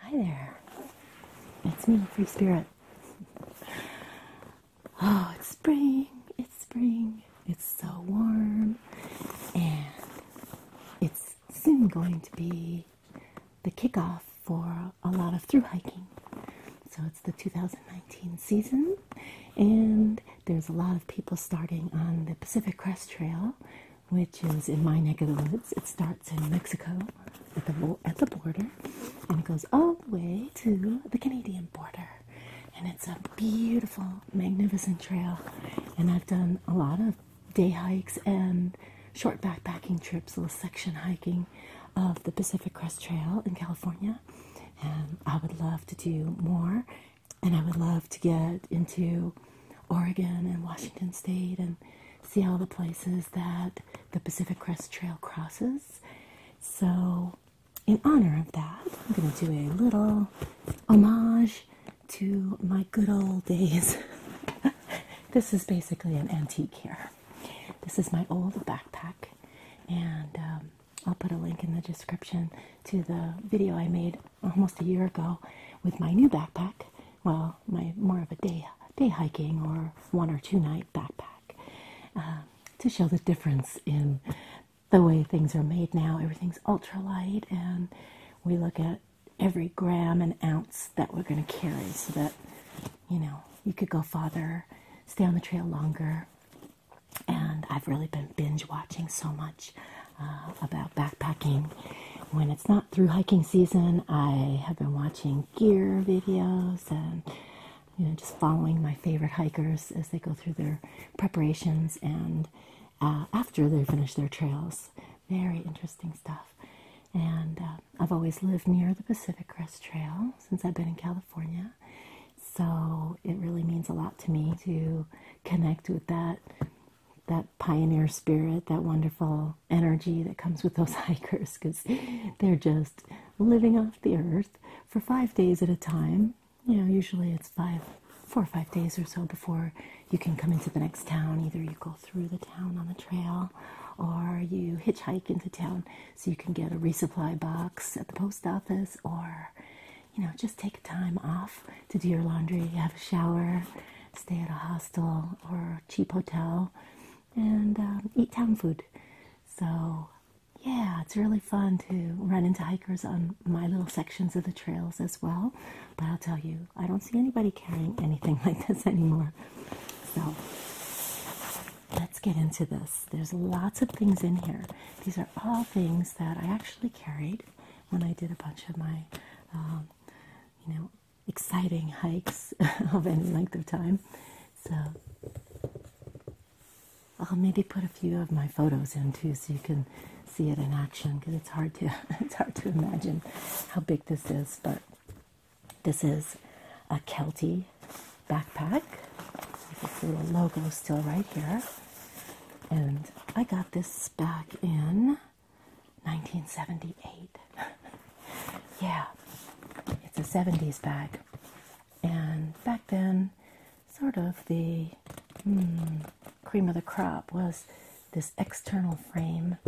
Hi there. It's me, Free Spirit. Oh, it's spring. It's spring. It's so warm. And it's soon going to be the kickoff for a lot of through hiking. So it's the 2019 season, and there's a lot of people starting on the Pacific Crest Trail, which is in my neck of the woods. It starts in Mexico at the at the border, and it goes all the way to the Canadian border. And it's a beautiful, magnificent trail. And I've done a lot of day hikes and short backpacking trips, little section hiking of the Pacific Crest Trail in California and I would love to do more. And I would love to get into Oregon and Washington State and see all the places that the Pacific Crest Trail crosses. So, in honor of that, I'm going to do a little homage to my good old days. this is basically an antique here. This is my old backpack, and um, I'll put a link in the description to the video I made almost a year ago with my new backpack. Well, my more of a day day hiking or one or two night backpack uh, to show the difference in the way things are made now. Everything's ultralight, and we look at every gram and ounce that we're going to carry so that you know you could go farther, stay on the trail longer, and I've really been binge watching so much uh, about backpacking. When it's not through hiking season, I have been watching gear videos and you know just following my favorite hikers as they go through their preparations and uh, after they finish their trails. Very interesting stuff. And uh, I've always lived near the Pacific Crest Trail since I've been in California. So it really means a lot to me to connect with that that pioneer spirit, that wonderful energy that comes with those hikers because they're just living off the earth for five days at a time. You know, usually it's five, four or five days or so before you can come into the next town. Either you go through the town on the trail or you hitchhike into town so you can get a resupply box at the post office or you know just take time off to do your laundry have a shower stay at a hostel or cheap hotel and um, eat town food so yeah it's really fun to run into hikers on my little sections of the trails as well but i'll tell you i don't see anybody carrying anything like this anymore so let's get into this there's lots of things in here. These are all things that I actually carried when I did a bunch of my, um, you know, exciting hikes of any length of time. So I'll maybe put a few of my photos in too, so you can see it in action. Because it's hard to it's hard to imagine how big this is, but this is a Kelty backpack with this little logo still right here. And I got this back in 1978. yeah, it's a 70s bag. And back then, sort of the hmm, cream of the crop was this external frame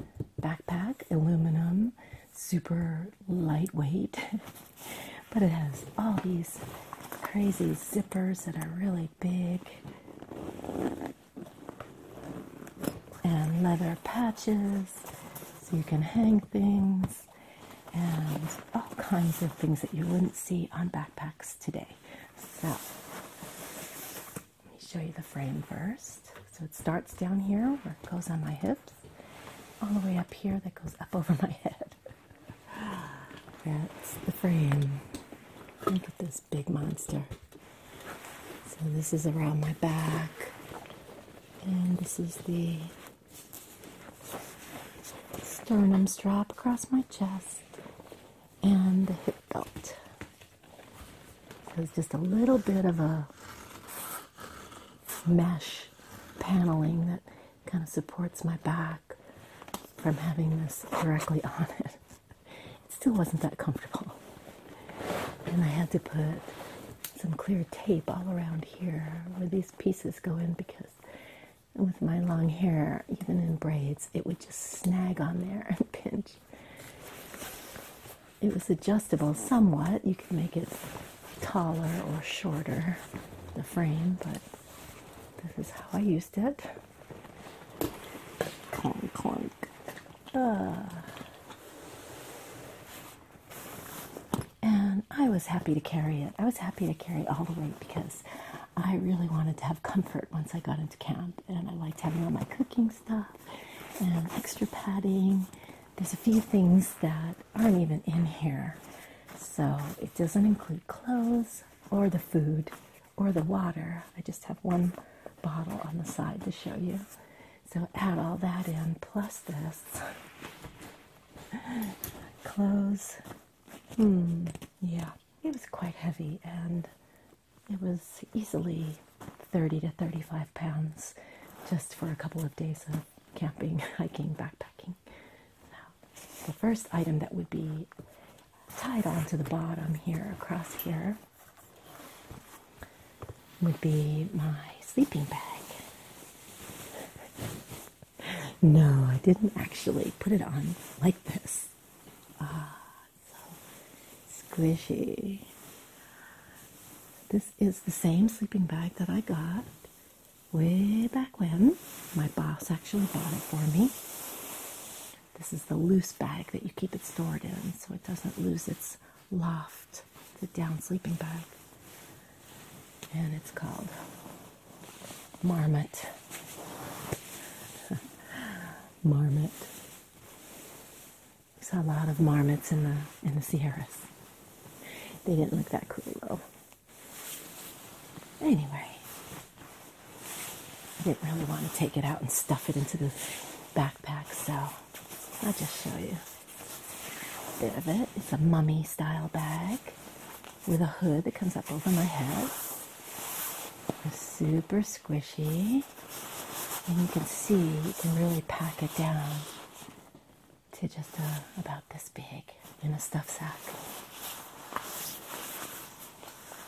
backpack, aluminum, super lightweight. But it has all these crazy zippers that are really big and leather patches so you can hang things and all kinds of things that you wouldn't see on backpacks today. So let me show you the frame first. So it starts down here where it goes on my hips, all the way up here that goes up over my head. That's the frame. Look at this big monster. So, this is around my back, and this is the sternum strap across my chest, and the hip belt. So, it's just a little bit of a mesh paneling that kind of supports my back from having this directly on it. It still wasn't that comfortable. And I had to put some clear tape all around here where these pieces go in because with my long hair, even in braids, it would just snag on there and pinch. It was adjustable somewhat. You could make it taller or shorter, the frame, but this is how I used it. Clunk, clunk. Uh. And I was happy to carry it. I was happy to carry all the way because I really wanted to have comfort once I got into camp. And I liked having all my cooking stuff and extra padding. There's a few things that aren't even in here. So it doesn't include clothes or the food or the water. I just have one bottle on the side to show you. So add all that in plus this. Clothes. Hmm, yeah. It was quite heavy and it was easily 30 to 35 pounds just for a couple of days of camping, hiking, backpacking the first item that would be tied onto the bottom here, across here, would be my sleeping bag. no, I didn't actually put it on like this. Ah, so squishy. This is the same sleeping bag that I got way back when. My boss actually bought it for me. This is the loose bag that you keep it stored in so it doesn't lose its loft. It's a down sleeping bag. And it's called Marmot. marmot. We saw a lot of marmots in the in the Sierras. They didn't look that cool though. Anyway, I didn't really want to take it out and stuff it into the backpack, so I'll just show you a bit of it. It's a mummy style bag with a hood that comes up over my head. It's super squishy, and you can see you can really pack it down to just uh, about this big in a stuff sack.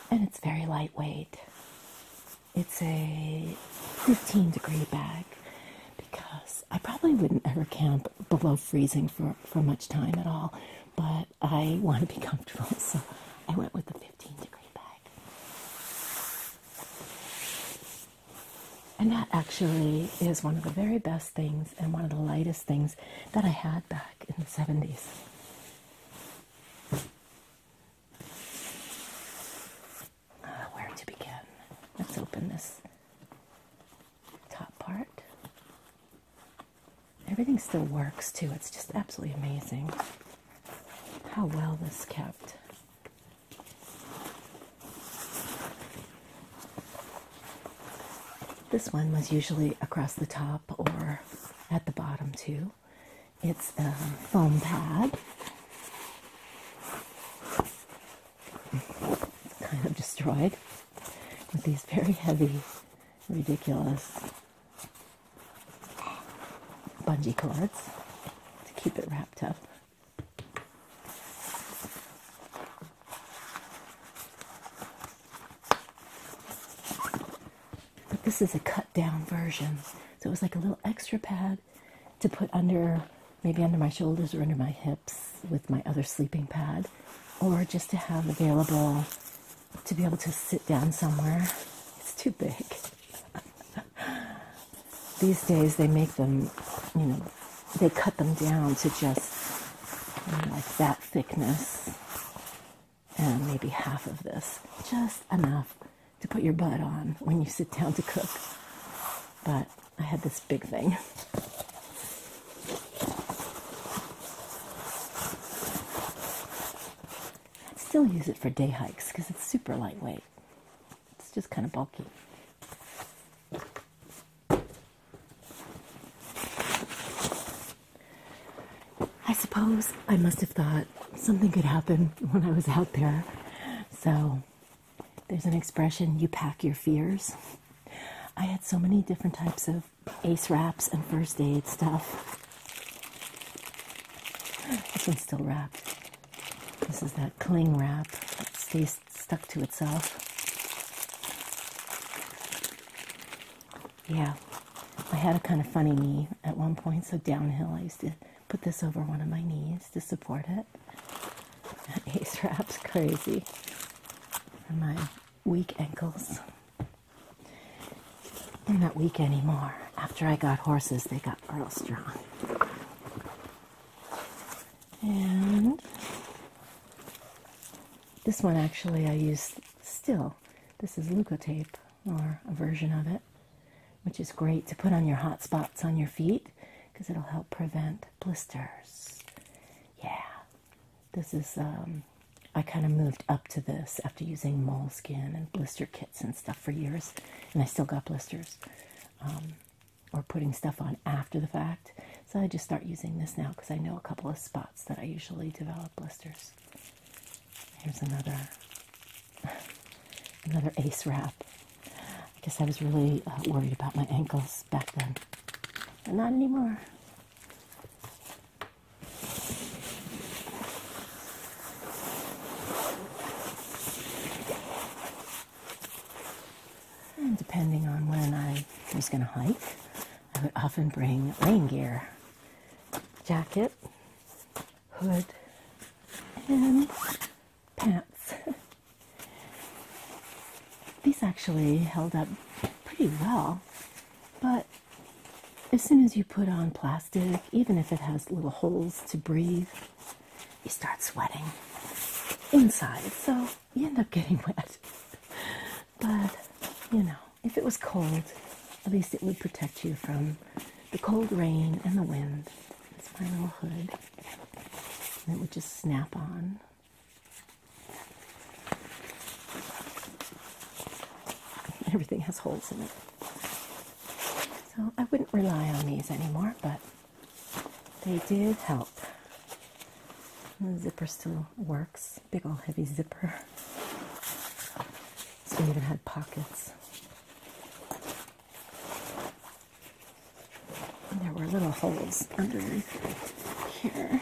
And it's very lightweight. It's a 15 degree bag because I probably wouldn't ever camp below freezing for, for much time at all, but I want to be comfortable, so I went with a 15 degree bag. And that actually is one of the very best things and one of the lightest things that I had back in the 70s. Uh, where to begin? Let's open this top part. Everything still works too. It's just absolutely amazing how well this kept. This one was usually across the top or at the bottom too. It's a foam pad. kind of destroyed with these very heavy, ridiculous bungee cords to keep it wrapped up. But this is a cut down version. So it was like a little extra pad to put under, maybe under my shoulders or under my hips with my other sleeping pad, or just to have available to be able to sit down somewhere. It's too big. These days they make them, you know, they cut them down to just like that thickness and maybe half of this, just enough to put your butt on when you sit down to cook. But I had this big thing. I'd still use it for day hikes because it's super lightweight. It's just kind of bulky. I suppose I must have thought something could happen when I was out there. So there's an expression you pack your fears. I had so many different types of ace wraps and first aid stuff. This one's still wrapped. This is that cling wrap that stays stuck to itself. Yeah, I had a kind of funny knee at one point, so downhill I used to put this over one of my knees to support it. That ace wrap's crazy for my weak ankles. They're not weak anymore. After I got horses, they got real strong. And this one actually I used Still, this is Luca tape or a version of it, which is great to put on your hot spots on your feet because it'll help prevent blisters. Yeah, this is, um, I kind of moved up to this after using moleskin and blister kits and stuff for years, and I still got blisters. Um, or putting stuff on after the fact. So I just start using this now because I know a couple of spots that I usually develop blisters. Here's another another ace wrap. I guess I was really uh, worried about my ankles back then, but not anymore. And depending on when I was going to hike, I would often bring rain gear jacket, hood, and pants. These actually held up pretty well, but as soon as you put on plastic, even if it has little holes to breathe, you start sweating inside, so you end up getting wet. But you know, if it was cold, at least it would protect you from the cold rain and the wind. It's my little hood. it would just snap on. Everything has holes in it. So I wouldn't rely on these anymore, but they did help. The zipper still works. Big old heavy zipper. So it even had pockets. And there were little holes underneath here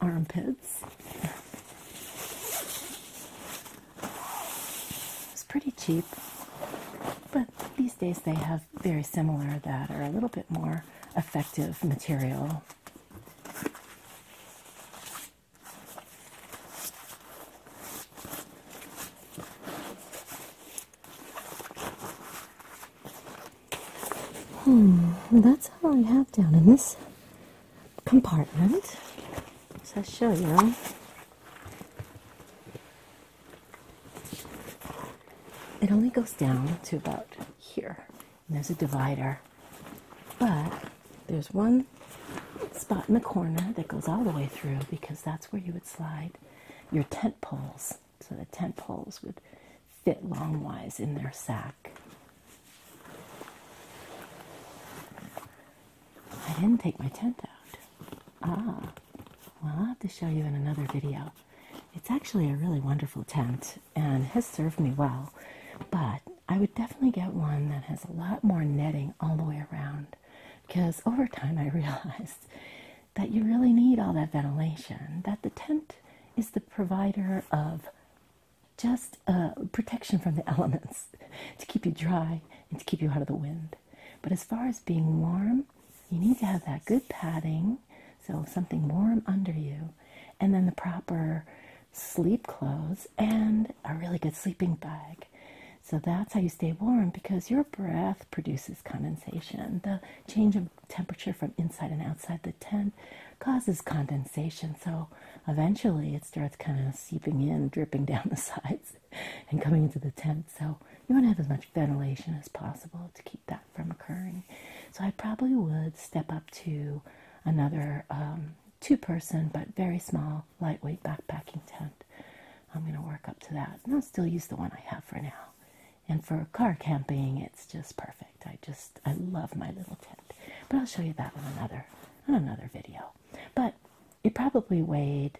armpits. It's pretty cheap, but these days they have very similar that are a little bit more effective material Hmm, that's all I have down in this compartment. So i show you. It only goes down to about here there's a divider. But there's one spot in the corner that goes all the way through because that's where you would slide your tent poles. So the tent poles would fit longwise in their sack. I didn't take my tent out. Ah, well, I'll have to show you in another video. It's actually a really wonderful tent and has served me well. But I would definitely get one that has a lot more netting all the way around because over time I realized that you really need all that ventilation, that the tent is the provider of just uh, protection from the elements to keep you dry and to keep you out of the wind. But as far as being warm, you need to have that good padding, so something warm under you, and then the proper sleep clothes and a really good sleeping bag. So that's how you stay warm because your breath produces condensation. The change of temperature from inside and outside the tent causes condensation. So eventually it starts kind of seeping in, dripping down the sides, and coming into the tent. So you want to have as much ventilation as possible to keep that from occurring. So I probably would step up to another um, two person but very small, lightweight backpacking tent. I'm going to work up to that. And I'll still use the one I have for now. And for car camping, it's just perfect. I just, I love my little tent. But I'll show you that in another, on another video. But it probably weighed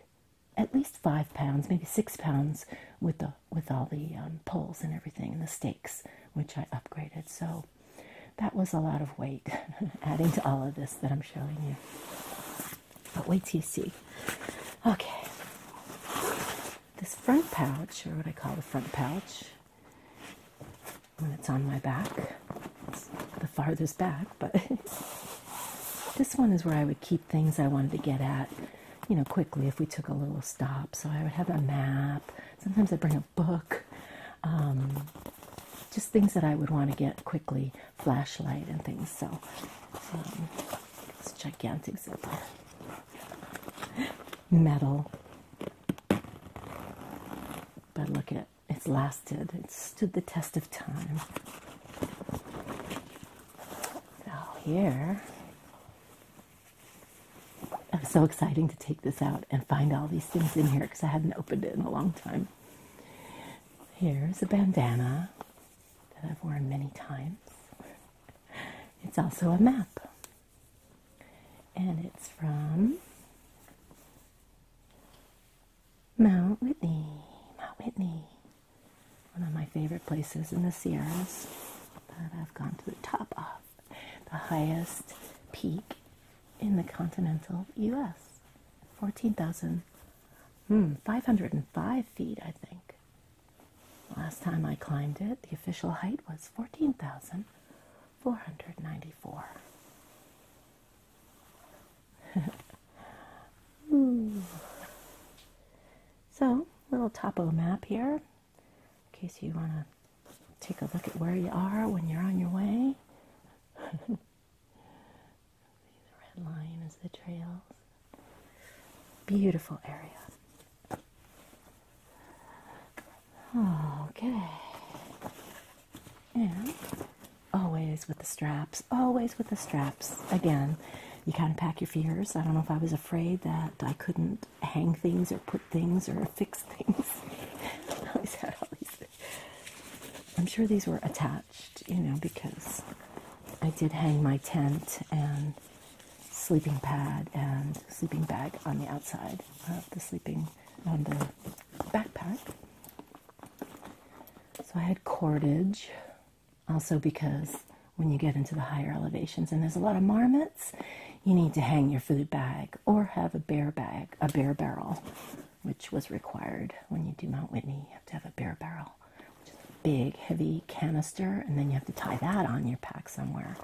at least five pounds, maybe six pounds with the, with all the um, poles and everything and the stakes, which I upgraded. So that was a lot of weight adding to all of this that I'm showing you. But wait till you see. Okay. This front pouch, or what I call the front pouch, when it's on my back, the farthest back, but this one is where I would keep things I wanted to get at, you know, quickly if we took a little stop. So I would have a map, Sometimes I bring a book. Um, just things that I would want to get quickly, flashlight and things. So, um, it's gigantic zipper. Metal. But look at it. It's lasted. It stood the test of time. Now here I'm so exciting to take this out and find all these things in here because I hadn't opened it in a long time. Here's a bandana that I've worn many times. It's also a map. And it's from Mount Whitney. Mount Whitney. One of my favorite places in the Sierras that I've gone to the top of the highest peak in the continental US 14,000 hmm, 505 feet I think last time I climbed it the official height was 14,494 hmm. so little topo map here in case you want to Take a look at where you are when you're on your way. See the red line as the trails. Beautiful area. Okay. And always with the straps, always with the straps. Again, you kind of pack your fears. I don't know if I was afraid that I couldn't hang things or put things or fix things. I am sure these were attached, you know, because I did hang my tent and sleeping pad and sleeping bag on the outside of the sleeping on the backpack. So I had cordage, also because when you get into the higher elevations and there's a lot of marmot, you need to hang your food bag or have a bear bag, a bear barrel, which was required when you do Mount Whitney. You have to have a bear barrel, which is a big, heavy canister, and then you have to tie that on your pack somewhere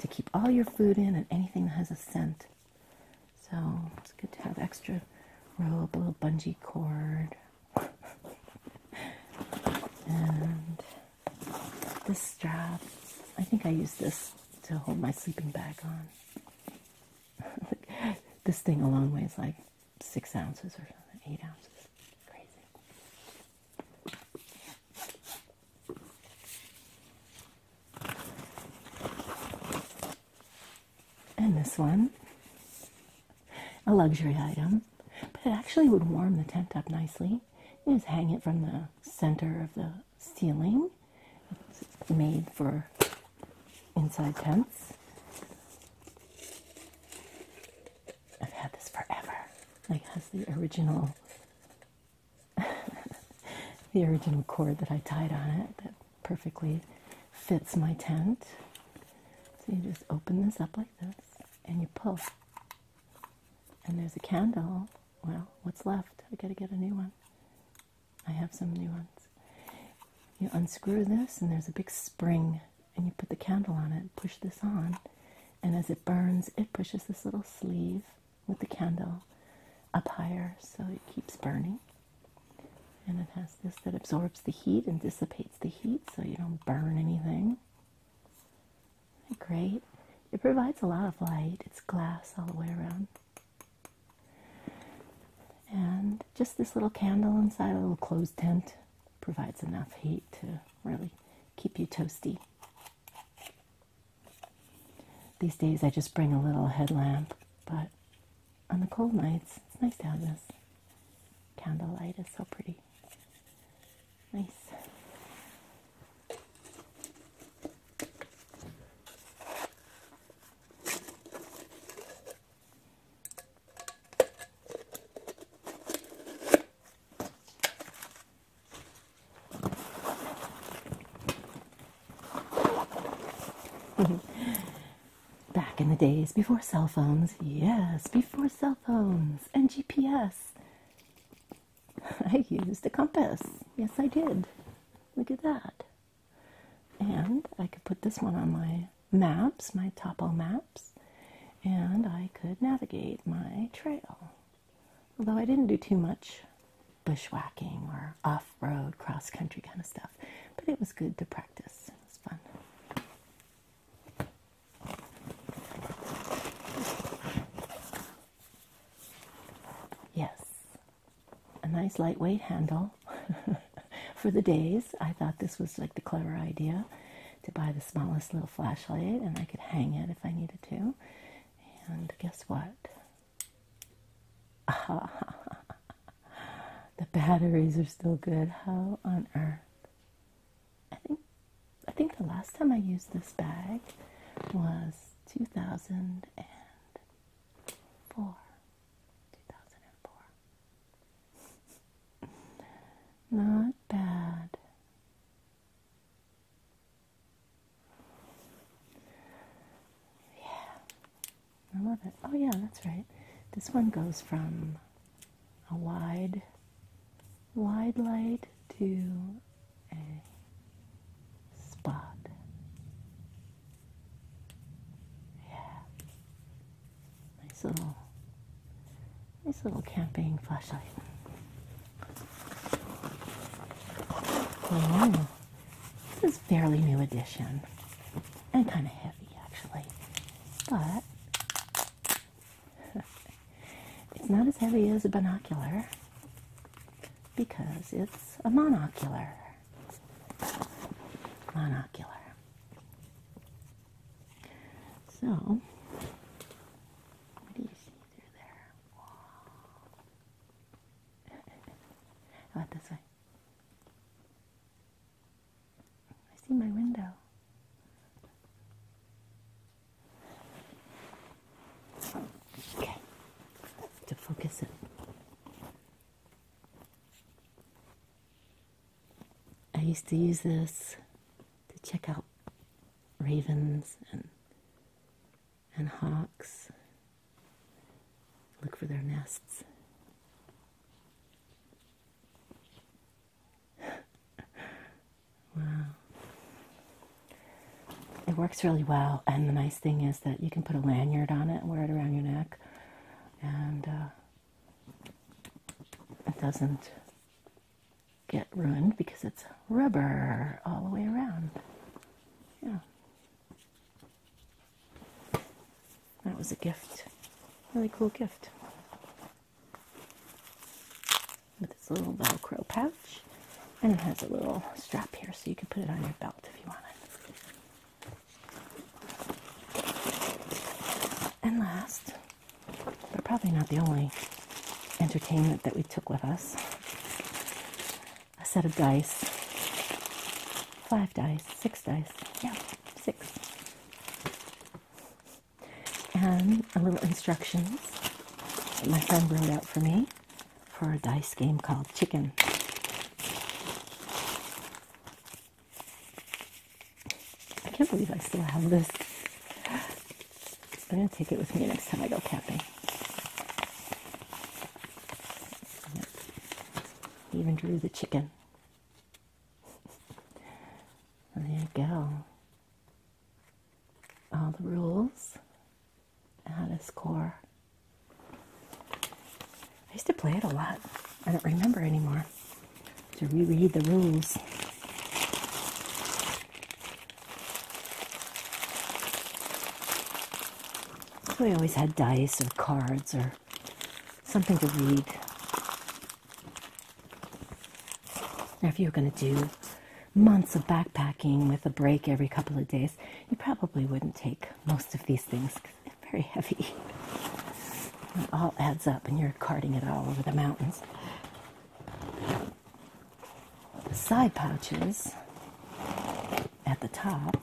to keep all your food in and anything that has a scent. So it's good to have extra rope, a little bungee cord. and this strap, I think I use this to hold my sleeping bag on. this thing alone weighs like six ounces or something, eight ounces. Crazy. And this one, a luxury item, but it actually would warm the tent up nicely. just hang it from the center of the ceiling. It's made for inside tents. I've had this forever. Like has the original the original cord that I tied on it that perfectly fits my tent. So you just open this up like this and you pull. And there's a candle. Well, what's left? I gotta get a new one. I have some new ones. You unscrew this, and there's a big spring, and you put the candle on it, push this on, and as it burns, it pushes this little sleeve with the candle up higher so it keeps burning. And it has this that absorbs the heat and dissipates the heat so you don't burn anything. Great. It provides a lot of light. It's glass all the way around. And just this little candle inside a little closed tent provides enough heat to really keep you toasty. These days I just bring a little headlamp, but on the cold nights it's nice to have this. Candlelight is so pretty. Nice. Back in the days before cell phones, yes, before cell phones and GPS, I used a compass. Yes, I did. Look at that. And I could put this one on my maps, my topo maps, and I could navigate my trail. Although I didn't do too much bushwhacking or off road, cross country kind of stuff, but it was good to practice. It was fun. Yes, a nice lightweight handle for the days. I thought this was like the clever idea to buy the smallest little flashlight and I could hang it if I needed to. And guess what? the batteries are still good. How on earth? I think I think the last time I used this bag was 2000 and four, two thousand and four. Not bad. Yeah, I love it. Oh yeah, that's right. This one goes from a wide, wide light to a spot. Yeah. Nice little nice little camping flashlight. Oh, this is fairly new addition and kind of heavy actually, but it's not as heavy as a binocular because it's a monocular monocular. So, what do you see through there? about this way? I see my window. Okay, to focus it. I used to use this to check out ravens and and hawks. Look for their nests. wow. It works really well and the I thing is that you can put a lanyard on it and wear it around your neck, and uh, it doesn't get ruined because it's rubber all the way around. Yeah. That was a gift. Really cool gift. With this little Velcro pouch. And it has a little strap here so you can put it on your belt if you want it. And last, but probably not the only entertainment that we took with us, a set of dice. Five dice, six dice, yeah, six. And a little instructions that my friend wrote out for me for a dice game called Chicken. I can't believe I still have this. I'm going to take it with me next time I go camping. Even drew the chicken. there you go. All the rules Alice score? I used to play it a lot. I don't remember anymore. To reread the rules. we always had dice or cards or something to read. Now, if you were going to do months of backpacking with a break every couple of days, you probably wouldn't take most of these things very heavy. It all adds up, and you're carting it all over the mountains. The side pouches at the top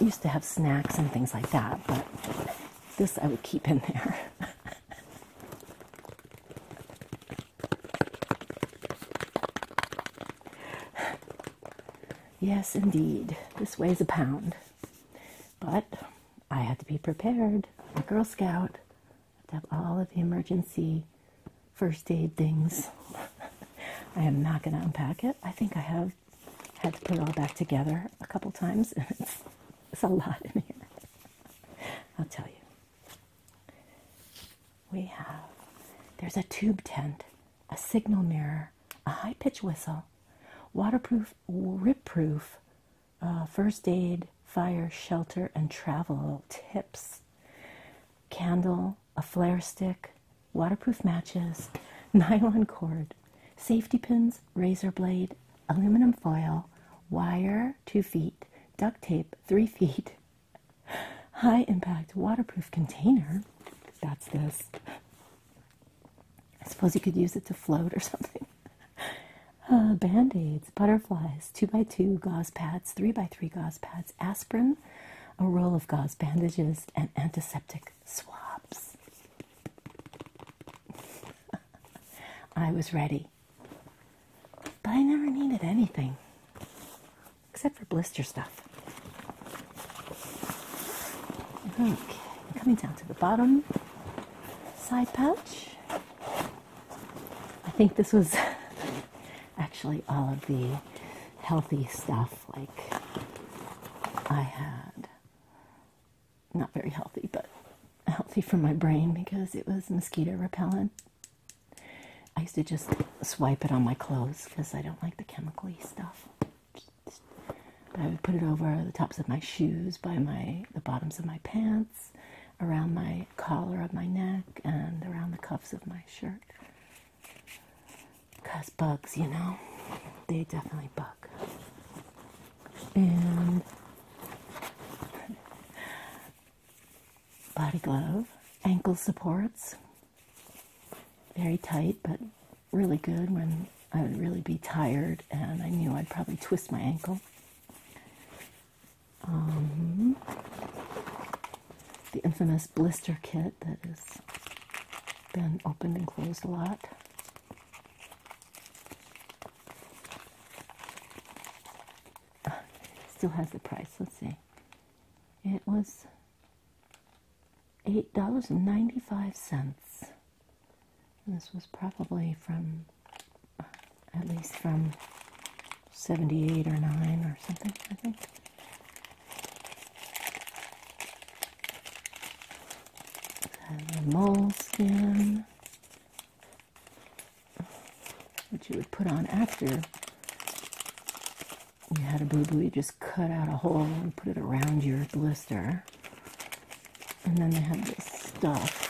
used to have snacks and things like that, but this I would keep in there. yes, indeed, this weighs a pound. But I had to be prepared. I'm a Girl Scout, I have all of the emergency first aid things. I am not going to unpack it. I think I have had to put it all back together a couple times, and it's a lot in here. I'll tell you we have there's a tube tent, a signal mirror, a high pitch whistle, waterproof, rip proof, uh, first aid, fire, shelter, and travel tips, candle, a flare stick, waterproof matches, nylon cord, safety pins, razor blade, aluminum foil, wire, two feet, duct tape, three feet, High impact waterproof container. That's this. I suppose you could use it to float or something. Uh, Band aids, butterflies, 2x2 gauze pads, 3x3 gauze pads, aspirin, a roll of gauze bandages, and antiseptic swabs. I was ready, but I never needed anything except for blister stuff. Okay, coming down to the bottom side pouch. I think this was actually all of the healthy stuff, like I had. Not very healthy, but healthy for my brain because it was mosquito repellent I used to just swipe it on my clothes because I don't like the chemically stuff. But I would put it over the tops of my shoes, by my the bottoms of my pants, around my collar of my neck, and around the cuffs of my shirt. Cause bugs, you know, they definitely bug. And body glove, ankle supports very tight, but really good when I would really be tired and I knew I'd probably twist my ankle. Um, the infamous blister kit that has been opened and closed a lot. Ah, still has the price. Let's see. It was $8.95. this was probably from, at least from 78 or 9 or something, I think. And the moleskin, which you would put on after you had a boo boo, you just cut out a hole and put it around your blister. And then they have this stuff.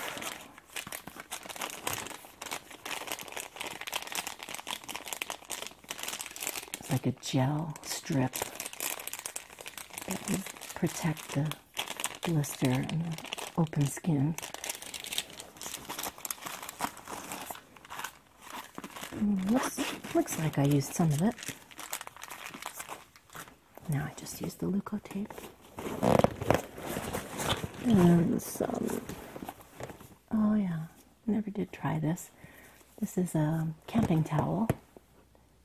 It's like a gel strip that would protect the blister and the open skin. Mm, looks, like I used some of it. Now I just use the Luco tape and some. Oh yeah, never did try this. This is a camping towel,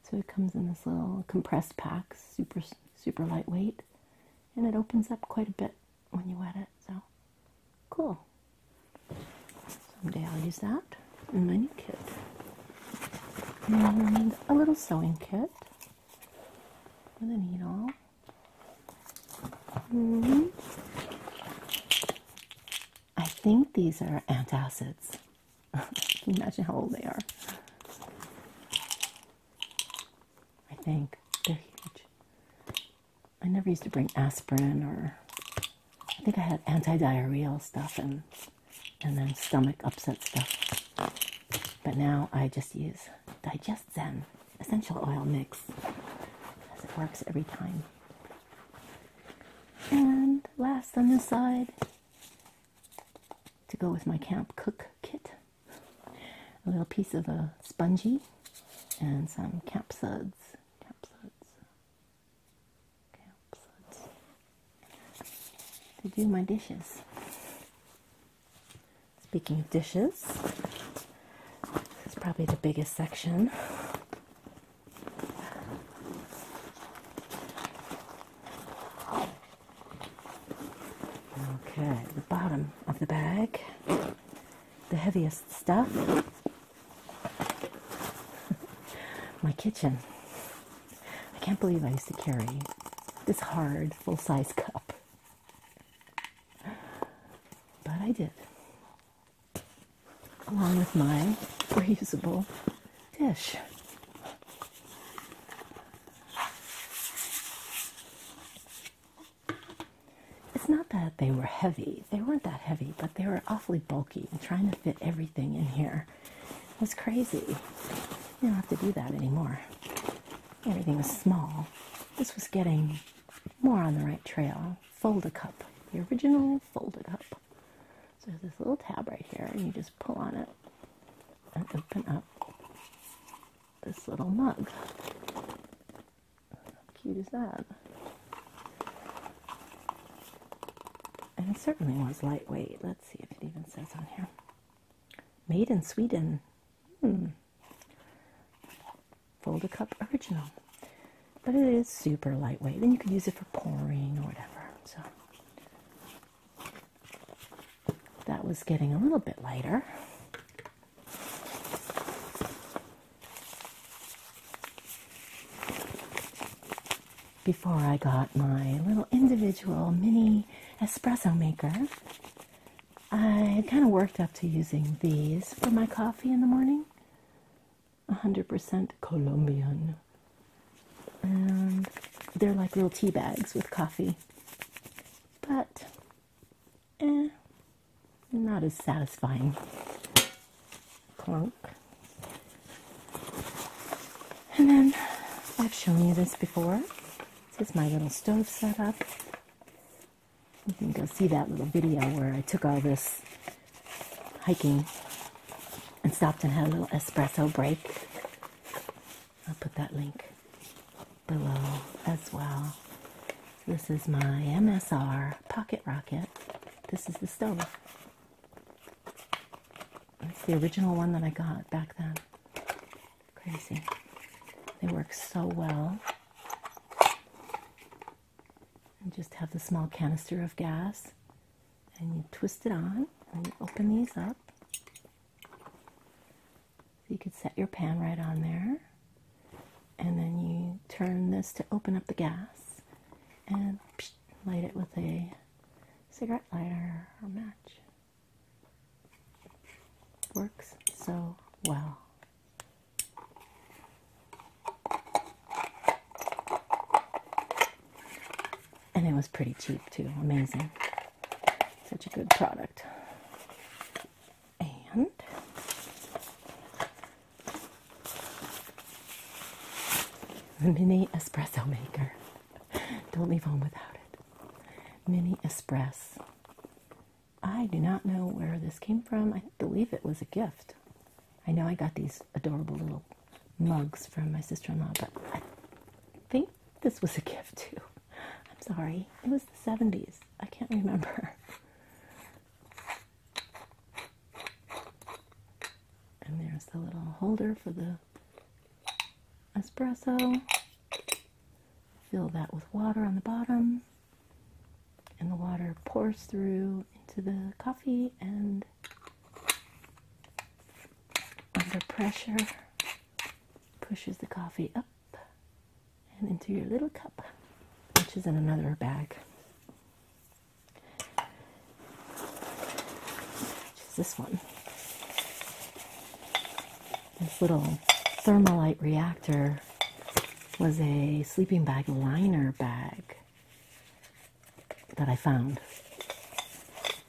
so it comes in this little compressed pack, super super lightweight, and it opens up quite a bit when you wet it. So Cool. Someday I'll use that in my new kit. And a little sewing kit with a needle. -hmm. I think these are antacids. Can you imagine how old they are? I think they're huge. I never used to bring aspirin or I think I had anti-diarrheal stuff and and then stomach upset stuff. But now I just use Digest Zen essential oil mix because it works every time. And last on this side to go with my camp cook kit. A little piece of a spongy and some camp suds. Camp suds to do my dishes. Speaking of dishes, it's probably the biggest section. Okay, the bottom of the bag, the heaviest stuff my kitchen. I can't believe I used to carry this hard full size cup. But I did, along with my reusable dish. It's not that they were heavy, they weren't that heavy, they were awfully bulky and trying to fit everything in here was crazy. You don't have to do that anymore. Everything was small. This was getting more on the right trail. Fold a cup, the original fold a cup. So there's this little tab right here, and you just pull on it and open up this little mug. How cute is that? And it certainly was lightweight. Let's see if it even says on here. Made in Sweden. Hmm. fold a cup original. But it is super lightweight. Then you could use it for pouring or whatever. So that was getting a little bit lighter before I got my little individual mini espresso maker, I kind of worked up to using these for my coffee in the morning. 100% Colombian. And they're like little tea bags with coffee. But, eh, not as satisfying cloak. And then I've shown you this before. This is my little stove set up. You can go see that little video where I took all this hiking and stopped and had a little espresso break. I'll put that link below as well. This is my MSR Pocket Rocket. This is the stove. It's the original one that I got back then. Crazy. They work so well. And just have the small canister of gas, and you twist it on, and you open these up. you could set your pan right on there, and then you turn this to open up the gas, and light it with a cigarette lighter or match. Works so well. And it was pretty cheap too. Amazing. Such a good product. And mini espresso maker. Don't leave home without it. Mini espresso. I do not know where this came from. I believe it was a gift. I know I got these adorable little mugs from my sister in law, but I think this was a gift too. I'm sorry. It was the 70s. I can't remember. And there's the little holder for the espresso. Fill that with water on the bottom, and the water pours through into the coffee and under pressure pushes the coffee up and into your little cup, which is in another bag. Which is this one. This little thermalite reactor was a sleeping bag liner bag that I found.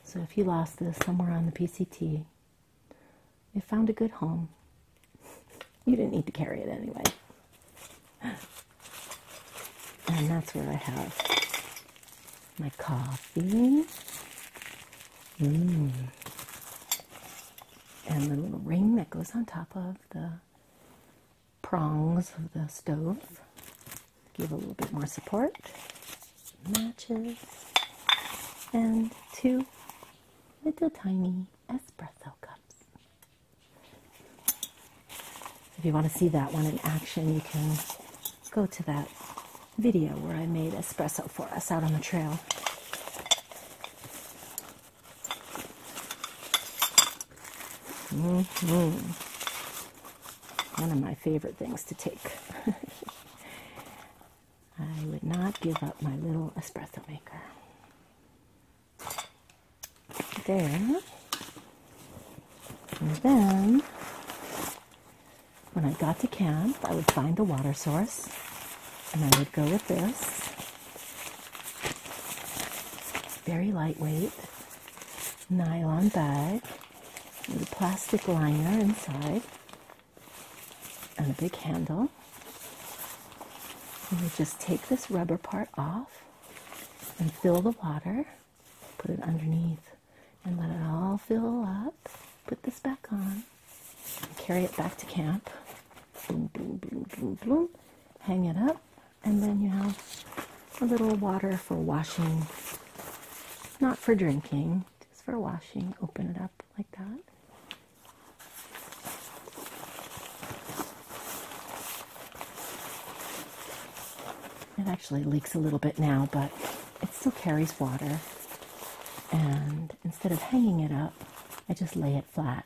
So if you lost this somewhere on the PCT, it found a good home. You didn't need to carry it anyway. And that's where I have my coffee. Mm. And the little ring that goes on top of the prongs of the stove. Give a little bit more support. Matches. And two little tiny espresso cups. If you want to see that one in action, you can go to that video where I made espresso for us out on the trail. hmm One of my favorite things to take. I would not give up my little espresso maker there. And then, when I got to camp, I would find a water source and I would go with this. Very lightweight nylon bag with a plastic liner inside and a big handle. And you just take this rubber part off and fill the water. Put it underneath and let it all fill up. Put this back on. Carry it back to camp. Boom, boom, boom, boom, boom. Hang it up. And then you have a little water for washing. Not for drinking, just for washing. Open it up like that. It actually leaks a little bit now, but it still carries water. And instead of hanging it up, I just lay it flat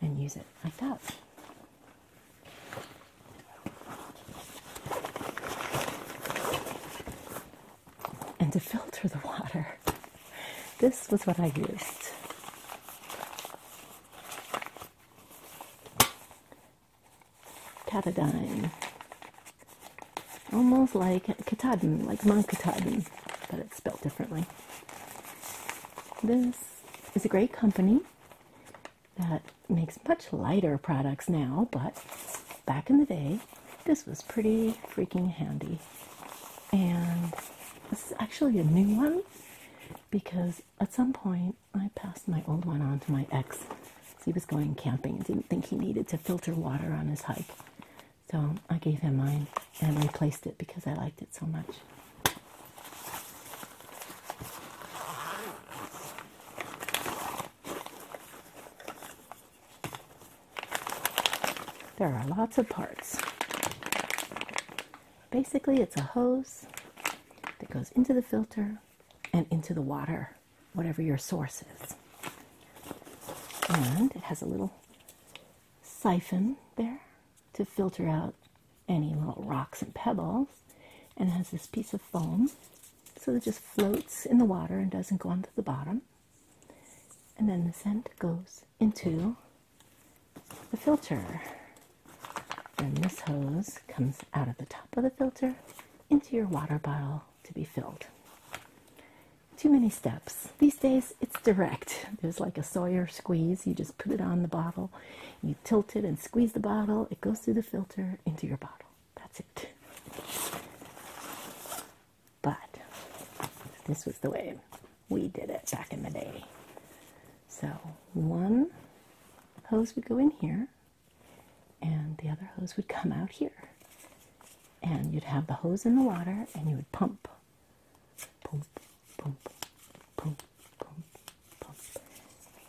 and use it like that. And to filter the water, this was what I used. Katadyn. Almost like Katadyn, like Mount Katadyn, but it's spelled differently. This is a great company that makes much lighter products now, but back in the day, this was pretty freaking handy. And this is actually a new one because at some point I passed my old one on to my ex. He was going camping and didn't think he needed to filter water on his hike. So I gave him mine and replaced it because I liked it so much. There are lots of parts. Basically, it's a hose that goes into the filter and into the water, whatever your source is. And it has a little siphon there to filter out any little rocks and pebbles. And it has this piece of foam so it just floats in the water and doesn't go onto the bottom. And then the scent goes into the filter. Then this hose comes out of the top of the filter into your water bottle to be filled. Too many steps. These days it's direct. There's like a Sawyer squeeze. You just put it on the bottle, you tilt it and squeeze the bottle, it goes through the filter into your bottle. That's it. But this was the way we did it back in the day. So, one hose would go in here, and the other hose would come out here. And you'd have the hose in the water and you would pump. Pump, pump, pump, pump, pump.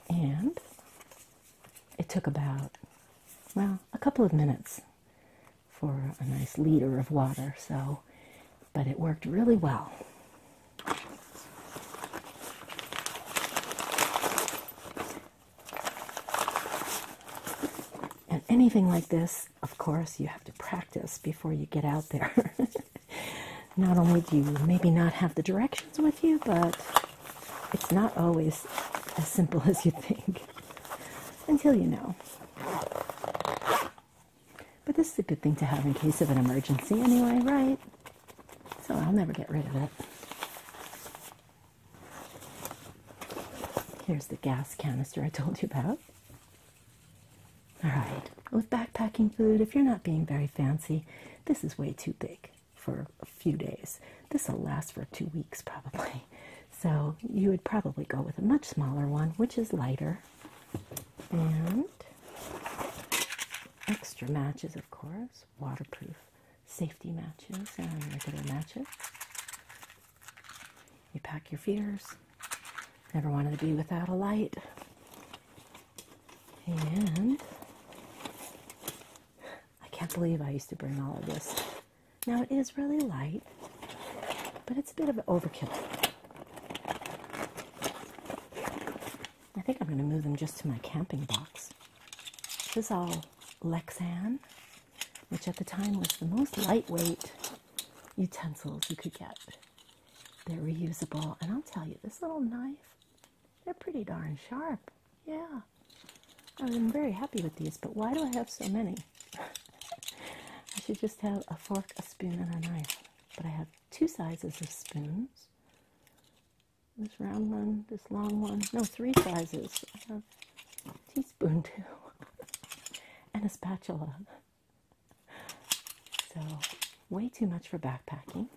And it took about, well, a couple of minutes for a nice liter of water, so, but it worked really well. And anything like this, of course, you have to practice before you get out there. not only do you maybe not have the directions with you, but it's not always as simple as you think until you know. But this is a good thing to have in case of an emergency, anyway, right? So I'll never get rid of it. Here's the gas canister I told you about. All right, with backpacking food, if you're not being very fancy, this is way too big for a few days. This will last for two weeks probably. So you would probably go with a much smaller one, which is lighter. And extra matches, of course, waterproof safety matches and uh, regular matches. You pack your feeders. Never wanted to be without a light. And I can't believe I used to bring all of this. Now it is really light, but it's a bit of an overkill. I think I'm going to move them just to my camping box this is all Lexan, which at the time was the most lightweight utensils you could get. They're reusable, and I'll tell you, this little knife, they're pretty darn sharp. Yeah, I'm very happy with these, but why do I have so many? I should just have a fork, a spoon, and a knife. But I have two sizes of spoons, this round one, this long one. No, three sizes. I have teaspoon too, and a spatula. So, way too much for backpacking.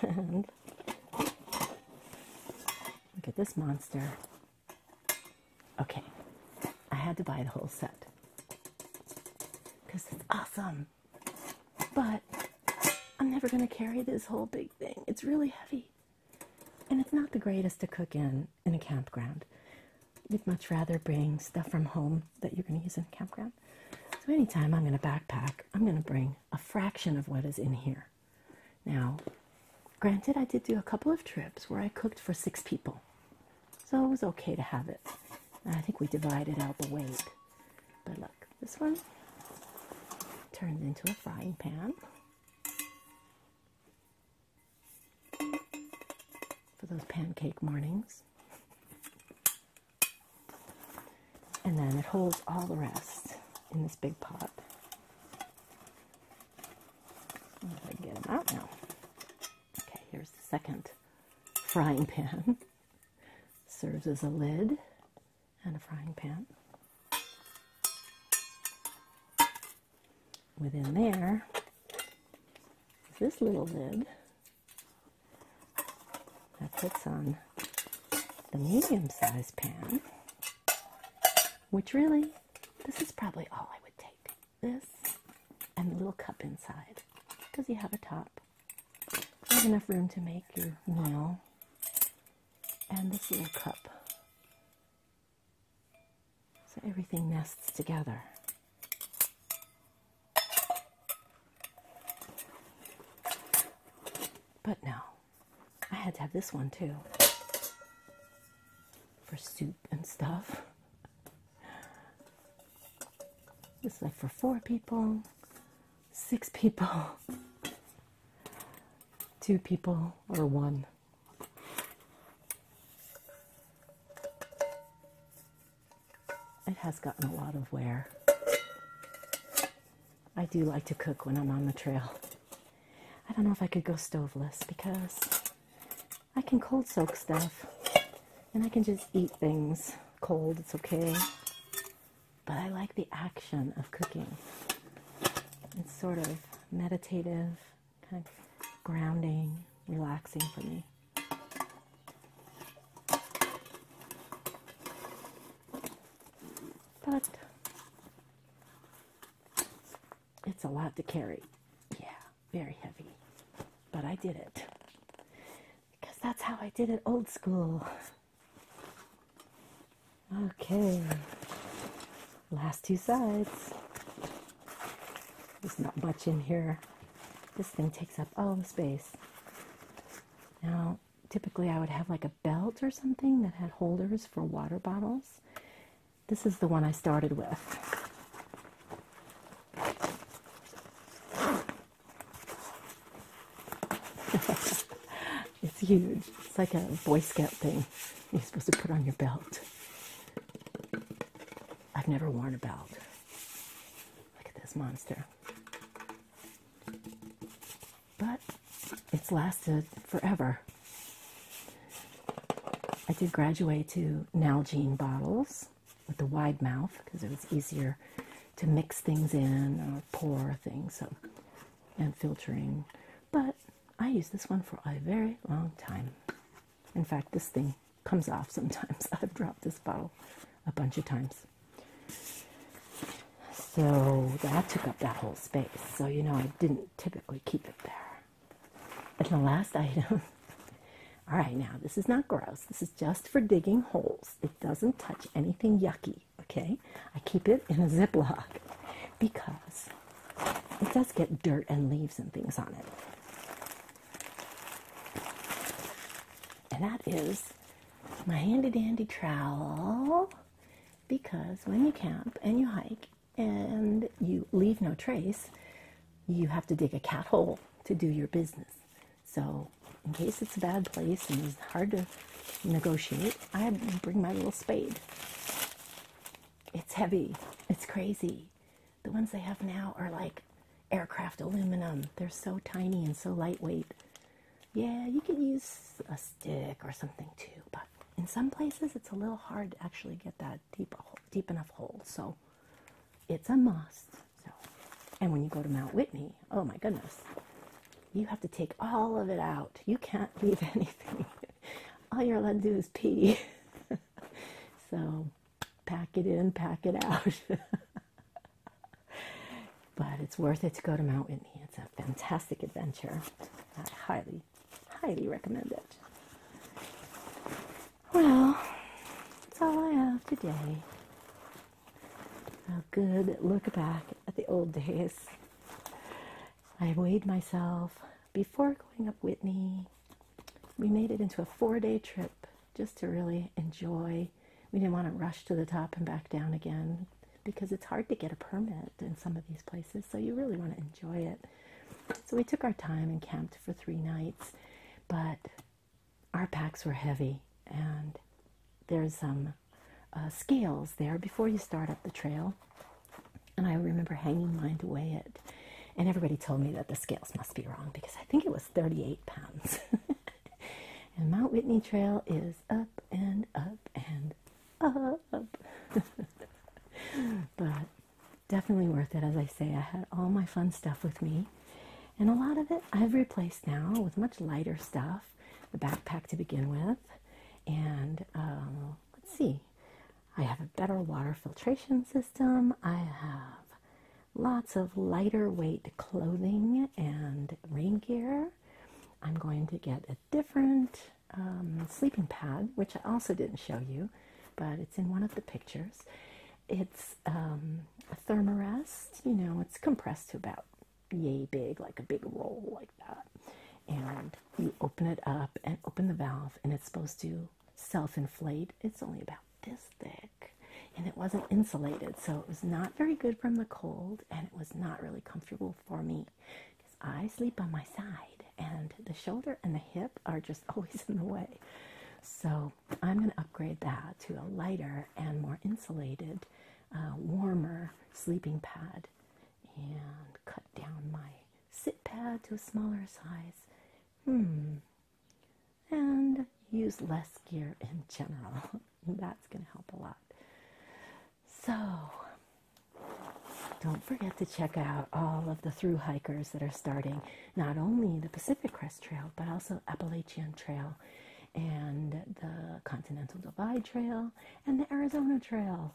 look at this monster. Okay, I had to buy the whole set because it's awesome but I'm never going to carry this whole big thing. It's really heavy. And it's not the greatest to cook in in a campground. You'd much rather bring stuff from home that you're going to use in a campground. So, anytime I'm going to backpack, I'm going to bring a fraction of what is in here. Now, granted, I did do a couple of trips where I cooked for six people. So, it was okay to have it. I think we divided out the weight. But look, this one turns into a frying pan. For those pancake mornings. And then it holds all the rest in this big pot. If I get them out now. Okay, here's the second frying pan. serves as a lid and a frying pan. Within there is this little lid that fits on the medium sized pan, which really, this is probably all I would take. This and the little cup inside. Does he have a top? have enough room to make your meal. And this little cup. So everything nests together. But no, I had to have this one too for soup and stuff. This is like for four people six people, two people, or one. It has gotten a lot of wear. I do like to cook when I'm on the trail. I don't know if I could go stoveless because I can cold soak stuff and I can just eat things cold, it's okay but I like the action of cooking. It's sort of meditative, kind of grounding, relaxing for me. But it's a lot to carry. Yeah, very heavy. But I did it. Because that's how I did it old school. Okay, last two sides. There's not much in here. This thing takes up all the space. Now, typically I would have like a belt or something that had holders for water bottles. This is the one I started with. it's huge. It's like a Boy Scout thing. You're supposed to put on your belt. I've never worn a belt. Look at this monster. But it's lasted forever. I did graduate to Nalgene bottles with the wide mouth because it was easier to mix things in or pour things so, and filtering. But I used this one for a very long time. In fact, this thing comes off sometimes. I've dropped this bottle a bunch of times. So that took up that whole space. So, you know, I didn't typically keep it there. And the last item. All right, now this is not gross. This is just for digging holes. It doesn't touch anything yucky okay? I keep it in a Ziploc because it does get dirt and leaves and things on it. And that is my handy dandy trowel because when you camp and you hike and you leave no trace, you have to dig a cat hole to do your business. So, in case it's a bad place and it's hard to negotiate, I bring my little spade. It's heavy, it's crazy. The ones I have now are like aircraft aluminum, they're so tiny and so lightweight. Yeah, you could use a stick or something too, but in some places it's a little hard to actually get that deep, deep enough hold. So, it's a must so, and when you go to Mount Whitney, oh my goodness, you have to take all of it out. You can't leave anything. all you're allowed to do is pee. so, pack it in, pack it out. but it's worth it to go to Mount Whitney. It's a fantastic adventure. I highly, highly recommend it. Well, that's all I have today a good look back at the old days. I weighed myself before going up Whitney. We made it into a four day trip just to really enjoy. We didn't want to rush to the top and back down again because it's hard to get a permit in some of these places, so you really want to enjoy it. So we took our time and camped for three nights, but our packs were heavy and there's some. Um, uh, scales there before you start up the trail. And I remember hanging mine to weigh it. And everybody told me that the scales must be wrong because I think it was 38 pounds. and Mount Whitney Trail is up and up and up. but definitely worth it, as I say. I had all my fun stuff with me. And a lot of it I've replaced now with much lighter stuff the backpack to begin with. And um, let's see, I have a better water filtration system. I have lots of lighter weight clothing and rain gear. I'm going to get a different um, sleeping pad, which I also didn't show you, but it's in one of the pictures. It's um, a thermarest, you know, it's compressed to about yay big, like a big roll like that. And you open it up and open the valve, and it's supposed to self inflate. It's only about this thick, and it wasn't insulated, so it was not very good from the cold, and it was not really comfortable for me because I sleep on my side, and the shoulder and the hip are just always in the way. So, I'm going to upgrade that to a lighter and more insulated, uh, warmer sleeping pad and cut down my sit pad to a smaller size. Hmm. And use less gear in general. That's going to help a lot. So, don't forget to check out all of the through hikers that are starting not only the Pacific Crest Trail but also Appalachian Trail and the Continental Divide Trail and the Arizona Trail.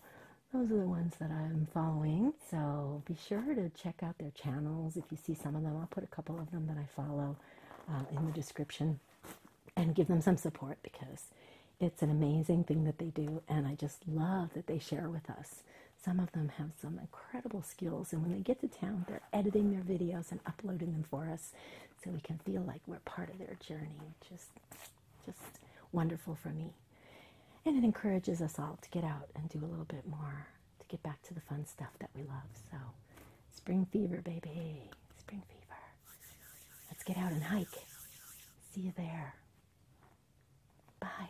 Those are the ones that I'm following. So be sure to check out their channels if you see some of them. I'll put a couple of them that I follow uh, in the description and give them some support because it's an amazing thing that they do, and I just love that they share with us. Some of them have some incredible skills, and when they get to town, they're editing their videos and uploading them for us so we can feel like we're part of their journey, Just, just wonderful for me. And it encourages us all to get out and do a little bit more to get back to the fun stuff that we love. So, spring fever, baby. Spring fever. Let's get out and hike. See you there. Bye.